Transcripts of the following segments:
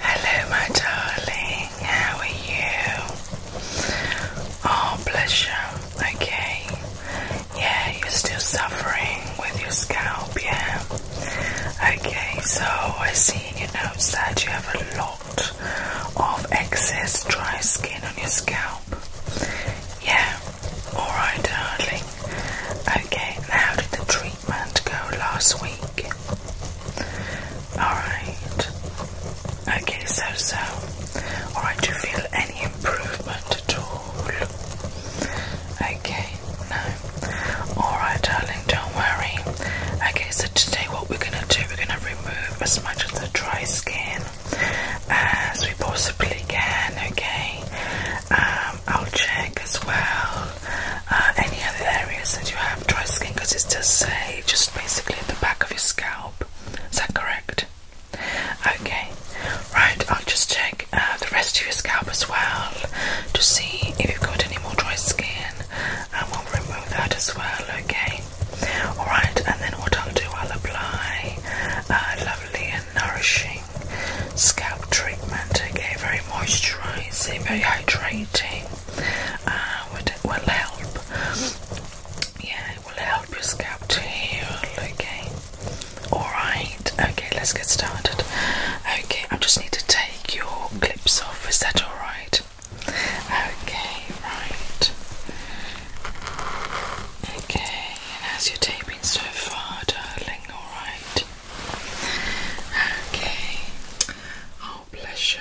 Hello, my darling. How are you? Oh, bless Okay. Yeah, you're still suffering with your scalp, yeah. Okay, so I see in your notes that you have a lot of excess dry skin on your scalp. Yeah, Alright, darling. Okay, how did the treatment go last week? Alright. Okay, so so. Alright, do you feel any improvement at all? Okay, no. Alright, darling, don't worry. Okay, so today what we're gonna do, we're gonna remove as much of the dry skin as we possibly can, okay? Um, I'll check as well uh, any other areas that you have dry skin because it's just say just basically at the back of your scalp. Is that correct? Okay, right. I'll just check uh, the rest of your scalp as well to see if you've got any more dry skin, and we'll remove that as well. Okay. All right, and then what I'll do, I'll apply uh, lovely and nourishing scalp treatment. Again, very moisturising, very hydrating. Uh, it will help. Yeah, it will help your scalp to heal. Okay. Alright, okay, let's get started. Okay, I just need to take your clips off, is that alright? Okay, right. Okay, and as you're taping so far, darling alright? Okay. Oh, bless you.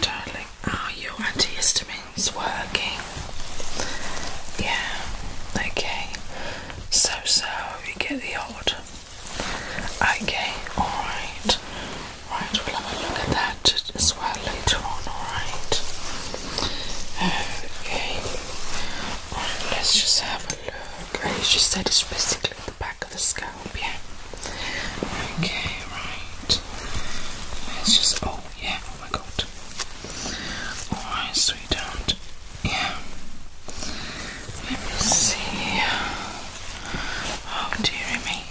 darling. Are ah, your antihistamines working? Yeah. Okay. So, so, you get the odd. Okay, alright. Right, we'll have a look at that as well later on, alright? Okay let's just have a look. As you said, it's basically the back of the scalp, yeah. Okay, right. Let's just. Oh, yeah. Oh my god. Alright, sweetheart. Yeah. Let me see. Oh, dearie me.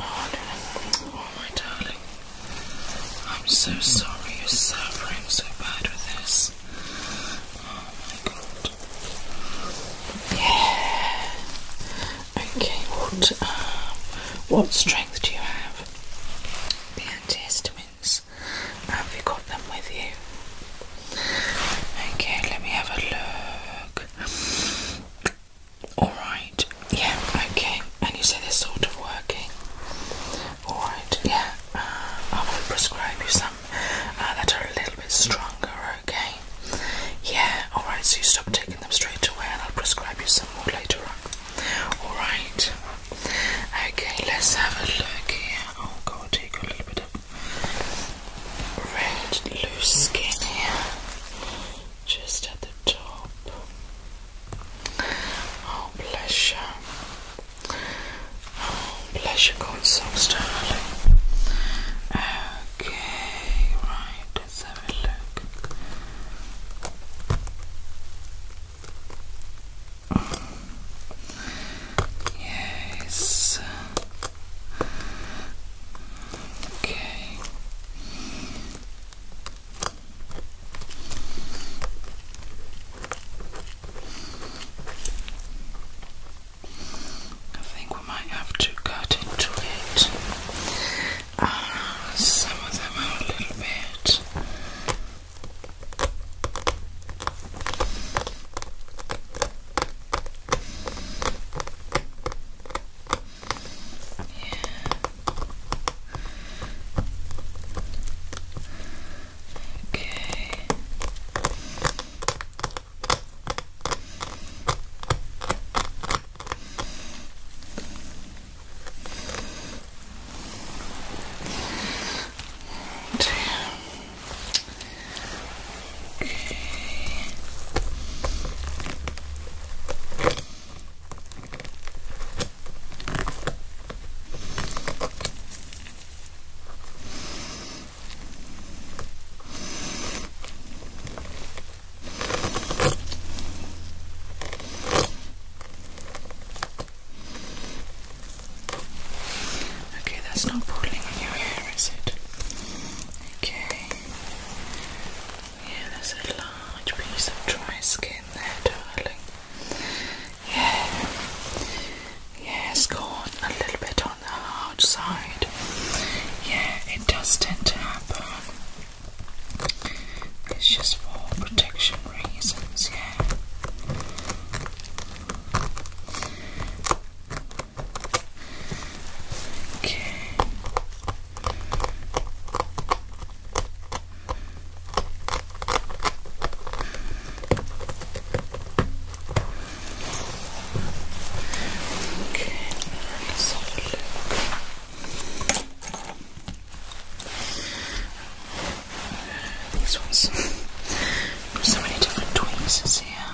Oh, my darling. I'm so sorry you're suffering so bad with this. Oh my god. Yeah. Okay, what um, what strength do you have? The antihistamines. Have you got them with you? Okay, let me have a look. Alright, yeah, okay. And you say they're sort of working. Alright, yeah. Uh, i will prescribe you some uh, that are a little bit stronger, okay? Yeah, alright, so you stop taking them straight away and I'll prescribe you some more later on. Alright. Okay, let's have a look here. Oh god, take a little bit of red loose skin here. Just at the top. Oh bless you. Oh, bless you, God, so startling. Okay, right, let's have a look. Yes. Okay. I think we might have to cut into it. Ah, some of them are a little bit. Yeah. Okay. Right. Okay. Okay, that's not pulling on your hair, is it? Okay. Yeah, there's a large piece of dry skin there, darling. Yeah, yeah, it a little bit on the hard side. Yeah, it does tend to happen. It's just for protection reasons, yeah. Okay. Okay, let's ones. so many different tweezers here.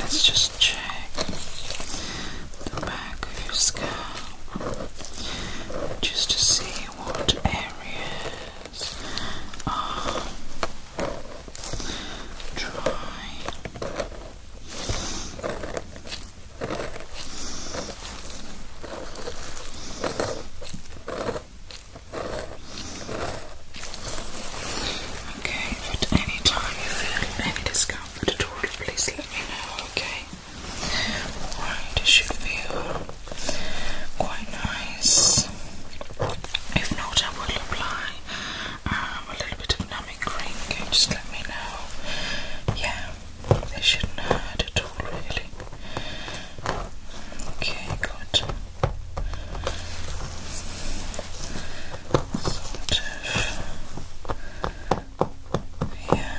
let's just check the back of your scalp just to see what areas are dry. Okay, at any time you feel any discomfort at all, please let me know, okay? okay? it should feel quite nice. If not, I will apply um, a little bit of numbing cream. just let me know. Yeah, they shouldn't hurt at all, really. Okay, good. Sort of. Yeah.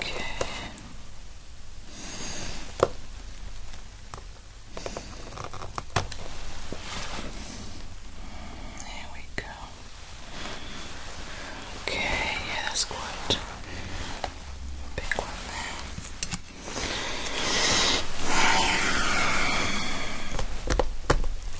Okay. There we go. Okay, yeah, that's good. Big one there.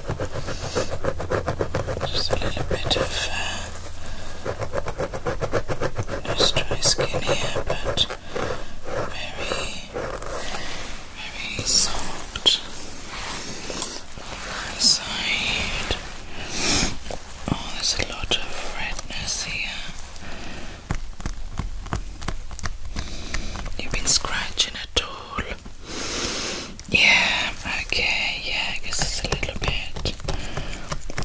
just a little bit of uh, nice dry skin here, but very, very soft on Oh, there's a lot of redness here. You've been scratching at all. Yeah, okay, yeah, I guess it's a little bit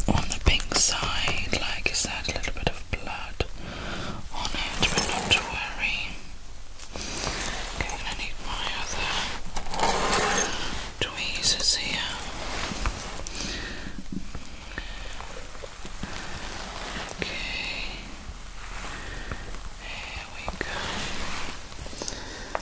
on the pink side, like is that a little bit of blood on it, but not to worry. Okay, I need my other tweezers here. Okay, here we go.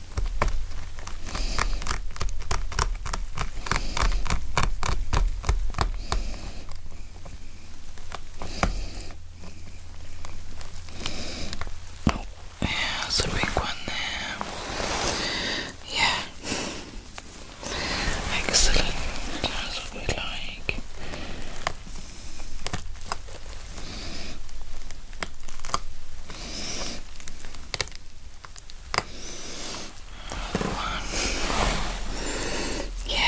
Oh, that's a big one there. Yeah. Excellent. That's what we like. Yeah.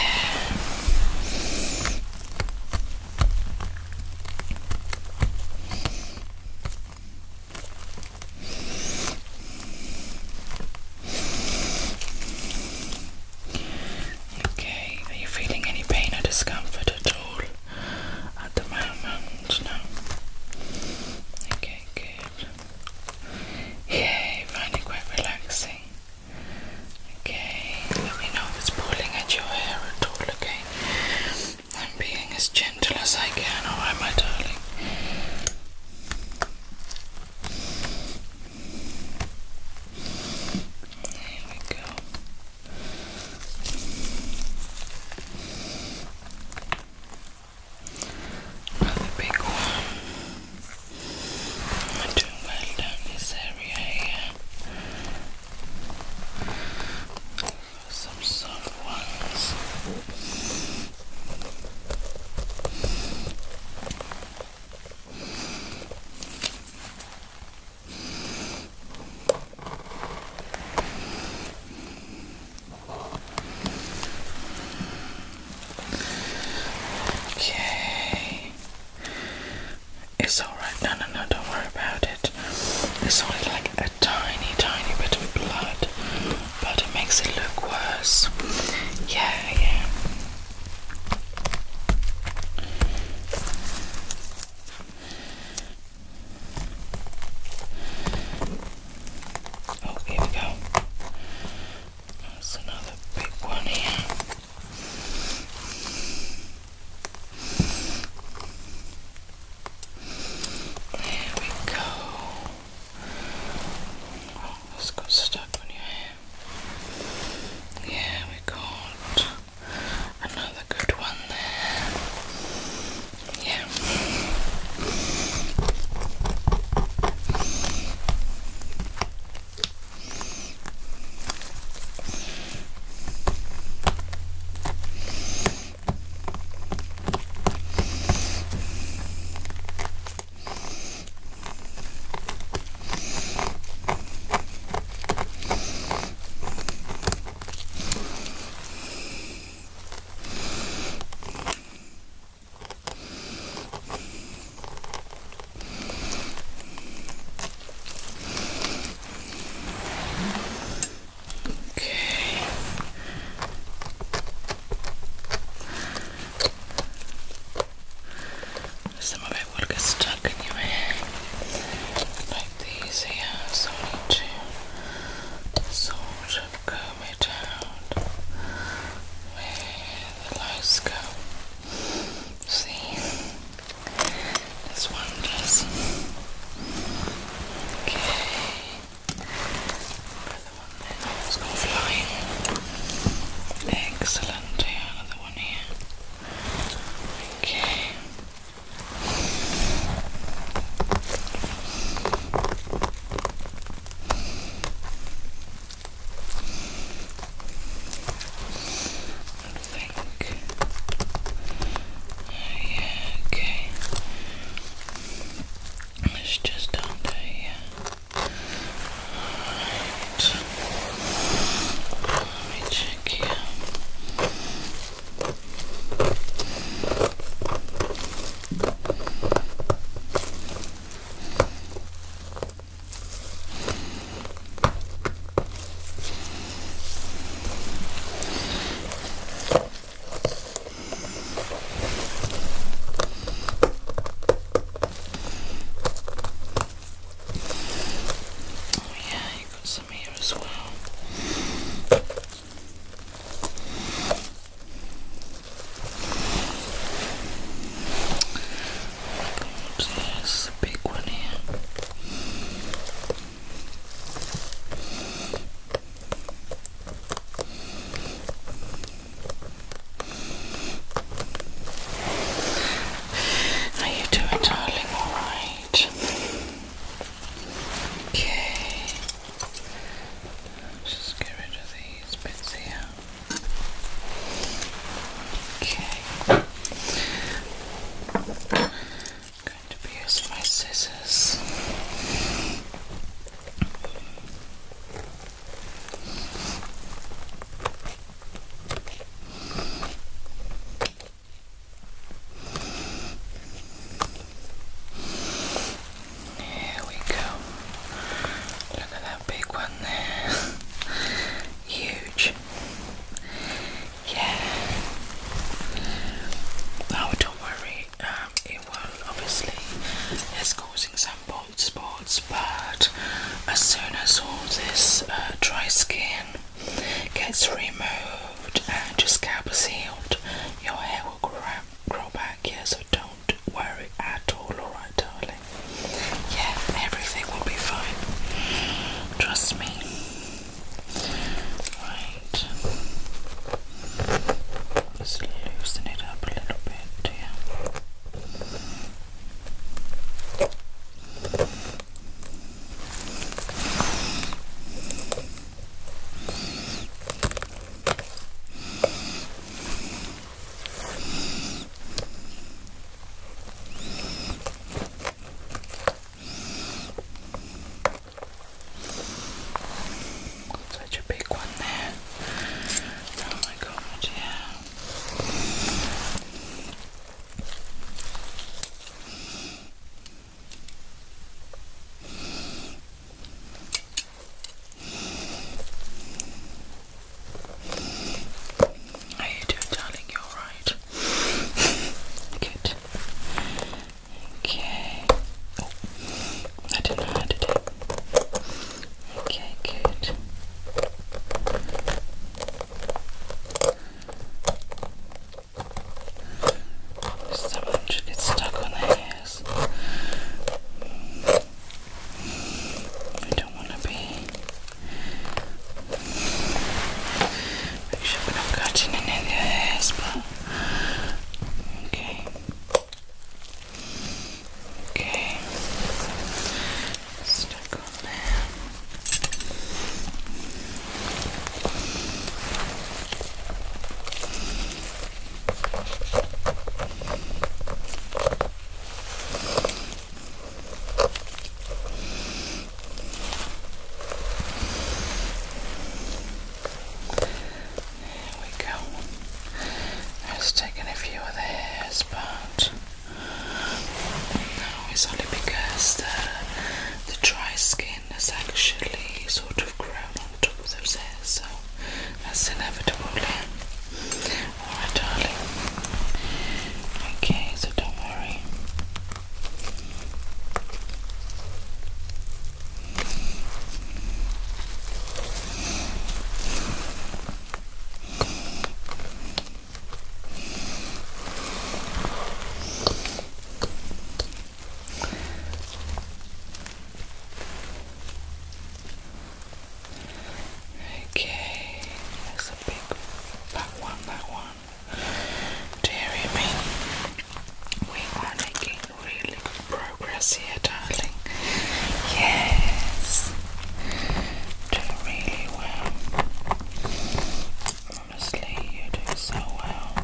Okay, are you feeling any pain or discomfort at all? at the moment. No. Okay, good. Yay, finding quite relaxing. Okay, let me know if it's pulling at your hair at all, okay? I'm being as gentle as I can, alright, my darling. There we go. Another big one. I'm doing well down this area here. Some soft ones. Okay. It's alright. No, no, no, don't worry about it. It's only like a tiny, tiny bit of blood, but it makes it look worse. Yeah, yeah. Oh, here we go. That's another big one here. There we go. Oh, got stuck on your hair. Yeah, we got Another good one there. Yeah. Okay. Some of it will get stuck in your hair. Like these hands need to sort of comb it out where the lights go. See? This one does. Okay. Another one there. Oh, it flying. Excellent. Another one here. Okay. Oh, yeah, okay. It's just under here. Let me check here. Oh yeah, you got some here as well. There's a big one here. How you doing, darling? All right. Okay. Let's just get rid of these bits here. Okay. going to be using my scissors. Here we go. Look at that big one there. Huge. Yeah. Now, don't worry, um, it will obviously is causing some bald spots, but as soon as all this uh, dry skin gets removed, and your scalp is healed, your hair will grow, back. Yeah, so don't worry at all. Alright, darling. Yeah, everything will be fine. Trust me. Right. Just loosen it up a little bit. Yeah. Such a big one there. Oh my god, yeah. How you doing, darling? You're right. Good. Okay. Oh, I don't know how to do. Okay, good. Some of them just get stuck on the hairs. don't want to be. Make sure we're not cutting any of their hairs, but. Okay. Okay. Stuck on there. There we go. That's taken a few of the but no, it's only because the the dry skin skin is actually sort of grown on top of those hairs, so that's inevitable Alright darling. Okay, so don't worry. Okay, that's a big that one, that one. Dear me, we are making really good progress here, darling. Yes, doing really well. Honestly, you do so well.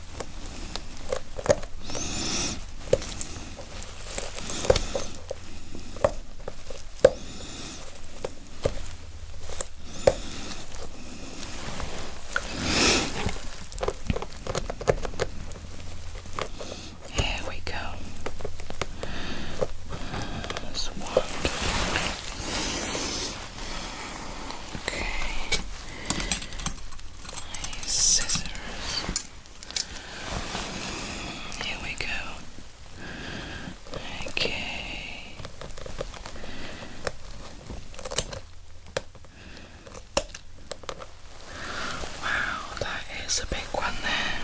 Here we go. That's wonderful. Okay. scissors. Here we go. Okay. Wow, that is a big one there.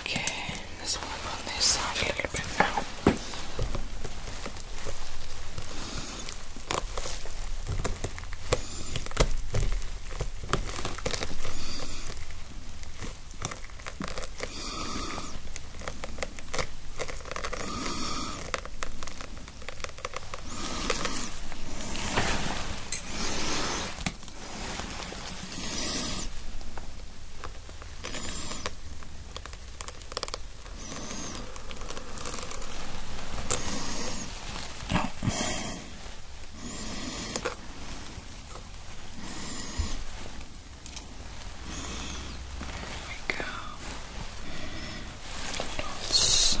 okay. Let's work on this side a little bit now we go. Let's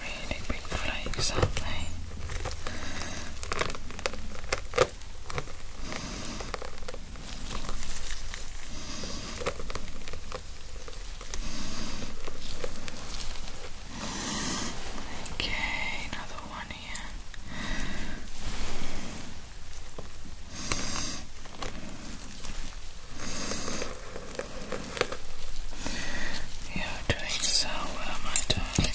Really big flakes, aren't they? Okay, another one here. You're doing so well, my darling.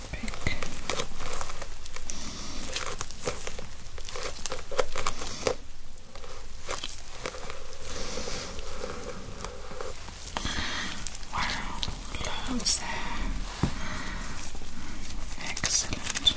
fabric. Wow, loads there. Excellent.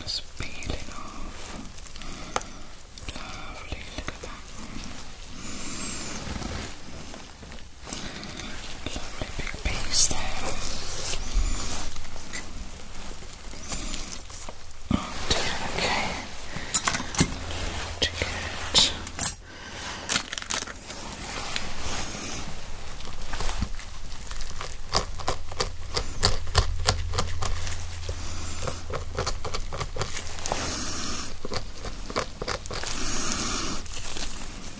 Just peeling off. Lovely, look at that. Lovely big piece there. Okay. To get Okay.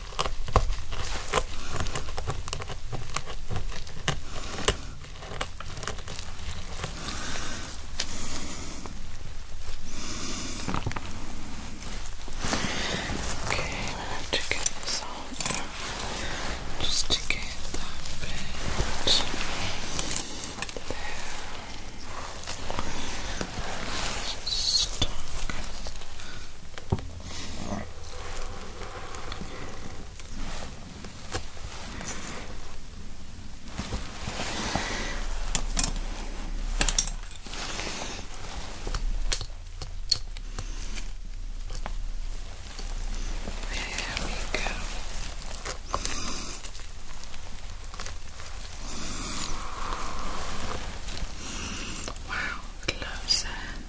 Okay, we have to get this off just to get that bit there. Stuck. There we go. Wow, gloves there.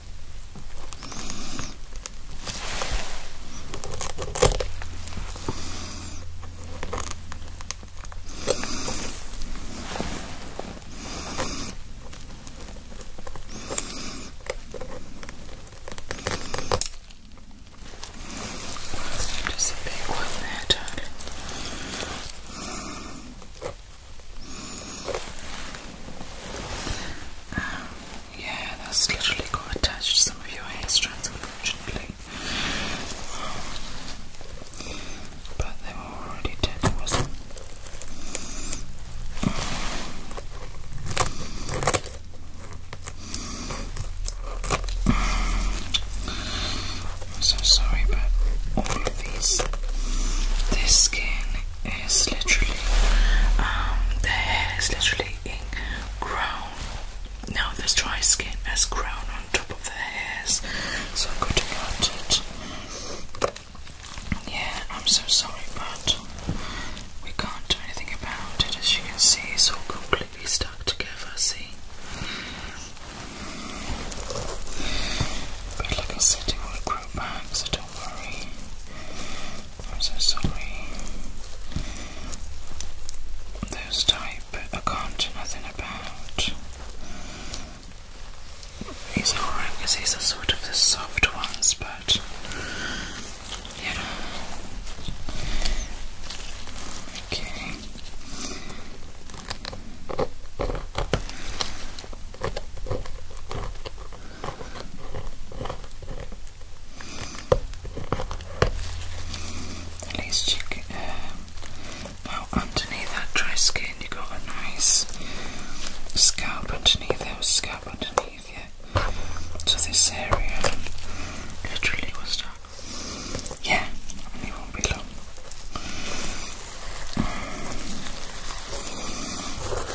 Just a big one there, darling. Yeah, that's literally got attached to some of your hair strands, unfortunately. But they were already dead, wasn't I'm so sorry, but all of these, this skin it's literally um, the hair is literally in Now this dry skin has grown on top of the hairs, so I'm it. Yeah, I'm so sorry, but we can't do anything about it. As you can see, it's all completely stuck together. See. But like I said, it will grow back, so don't worry. I'm so sorry. Those type I can't do nothing about. These are alright because sort of the soft ones, but you Okay. Let's check um, Underneath that dry skin, you got a nice scalp underneath. There scalp underneath, yeah. So this area literally was Yeah, and it will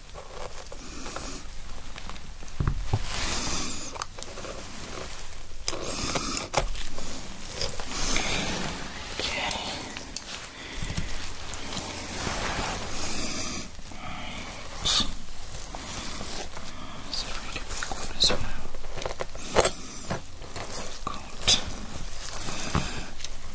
It's a really big one as well. Got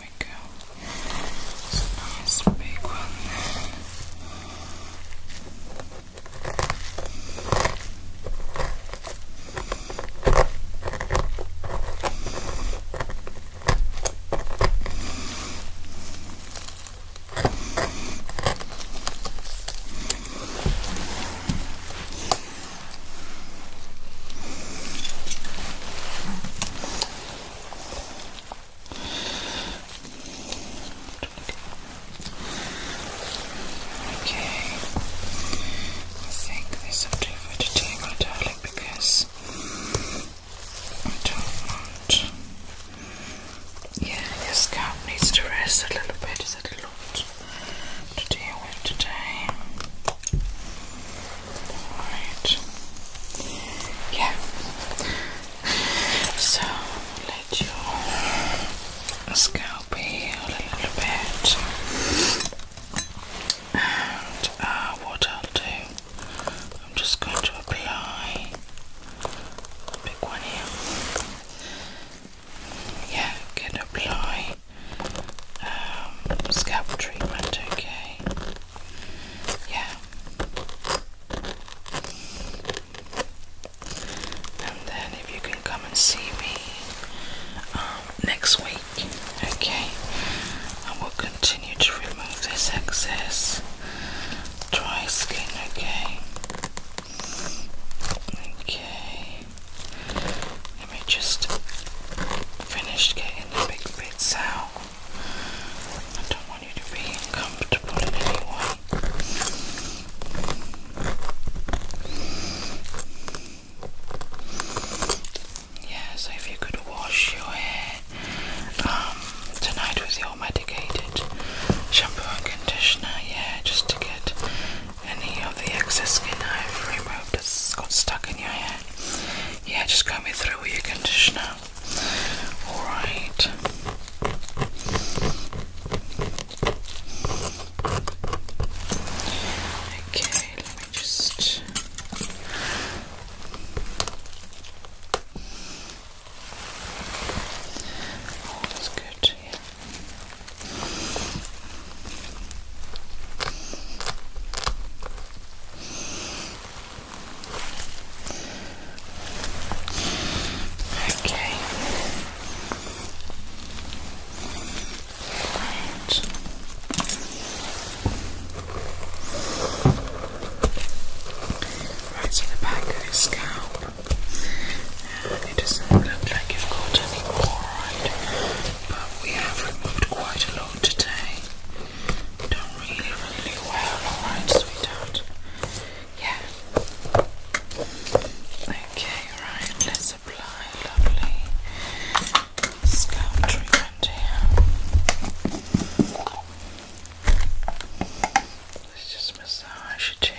There we go. It's a nice big one Okay, I think this will do for today, my today because I don't want. Yeah, your scalp needs to rest a little bit. Is that a lot to deal with today? Alright. Yeah. So let your scalp heal a little bit. And uh, what I'll do, I'm just going to apply a one here. Yeah, can apply um, scalp treatment, okay. Yeah. And then if you can come and see me um, next week, okay? I will continue to remove this excess dry skin, okay? Okay. Let me just finish getting the big bits out. I don't want you to be uncomfortable in any way. Yeah, so if you could wash your hair um, tonight with your medicated shampoo and conditioner, yeah, just to get any of the excess skin I've removed that's got stuck in your hair. Yeah, just comb it through with your conditioner all right. Okay, let me just. Oh, that's good. Yeah. Okay. Right. Right, so the back of your scalp. it doesn't look like you've got any more, But we have removed quite a lot today. Do really, really well. Alright, sweetheart. Yeah. Okay, right. Let's apply lovely scalp treatment here. Let's just massage your chin.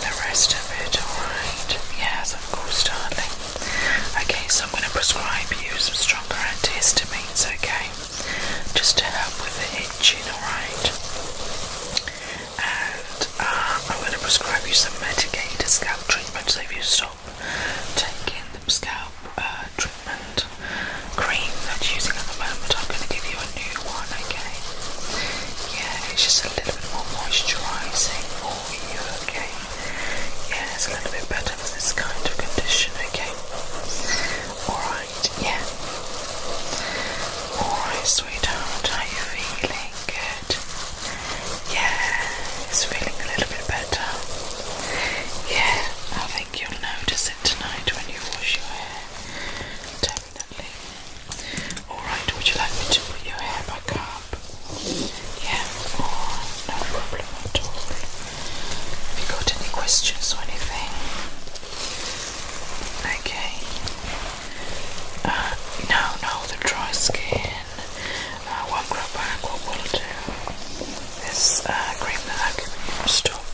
the rest of it, alright? Yes, of course, darling. Okay, so I'm going to prescribe you some stronger antihistamines, okay? Just to help with the itching, alright? And uh, I'm going to prescribe you some medicated scalp treatments. if you stop taking the scalp uh, treatment cream that you're using at the moment, I'm going to give you a new one, okay? Yeah, it's just a little bit more moisturising for you, okay? Yeah, it's a little bit better for this kind of condition, okay? Alright, yeah. Alright, sweetheart, are you feeling? Good. Yeah, it's feeling a little bit better. Yeah, I think you'll notice it tonight when you wash your hair. Alright, would you like me to put your hair back up? Yeah, oh, no problem at all. Have you got any questions or anything? Okay. no, uh, no, the dry skin. one grab bag, what will do is uh, cream that I can stop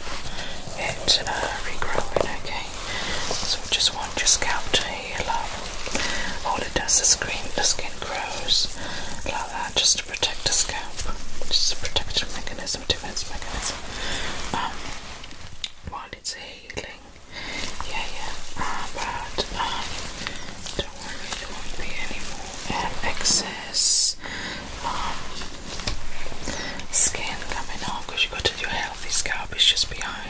it uh, regrowing, okay? Okay, so just want your scalp to heal up. All it does is screen the skin grows like that just to protect the scalp. Just a protective mechanism, defense mechanism. Um, while it's healing. Yeah, yeah. Uh, but um, don't worry, it won't be any more um, excess um, skin coming off because you have got to do your healthy scalp, it's just behind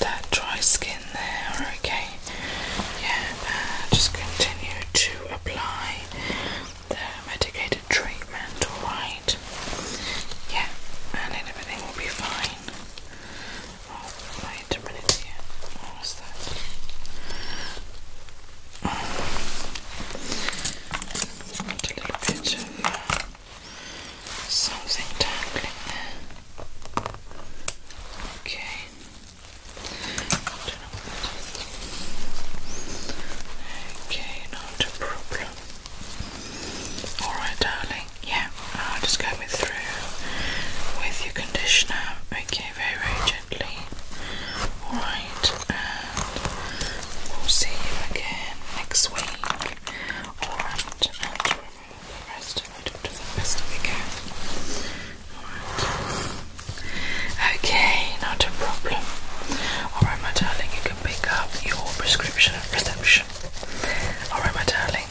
that dry skin there, okay? Yeah, uh, just continue to apply the medicated treatment, alright? Yeah, and then everything will be fine. Oh, wait a minute here. What was that? Oh, a little bit uh, something tangling there. Okay. Okay, not a problem. Alright, darling. Yeah, I'll just comb through with your conditioner. Okay, very, very gently. Alright, and we'll see you again next week Okay, not a problem. Alright, my darling, you can pick up your prescription at reception. Alright, my darling,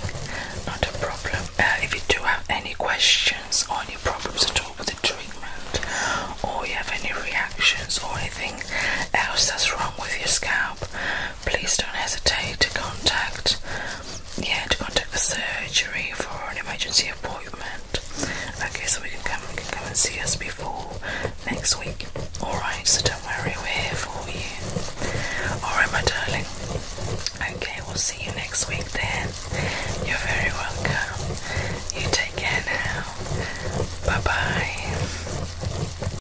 not a problem. Uh, if you do have any questions or any problems at all with the treatment, or you have any reactions or anything else that's wrong with your scalp, please don't hesitate to contact yeah to contact the surgery for an emergency appointment okay so we can come we come and see us before next week all right so don't worry we're here for you all right my darling okay we'll see you next week then you're very welcome you take care now bye bye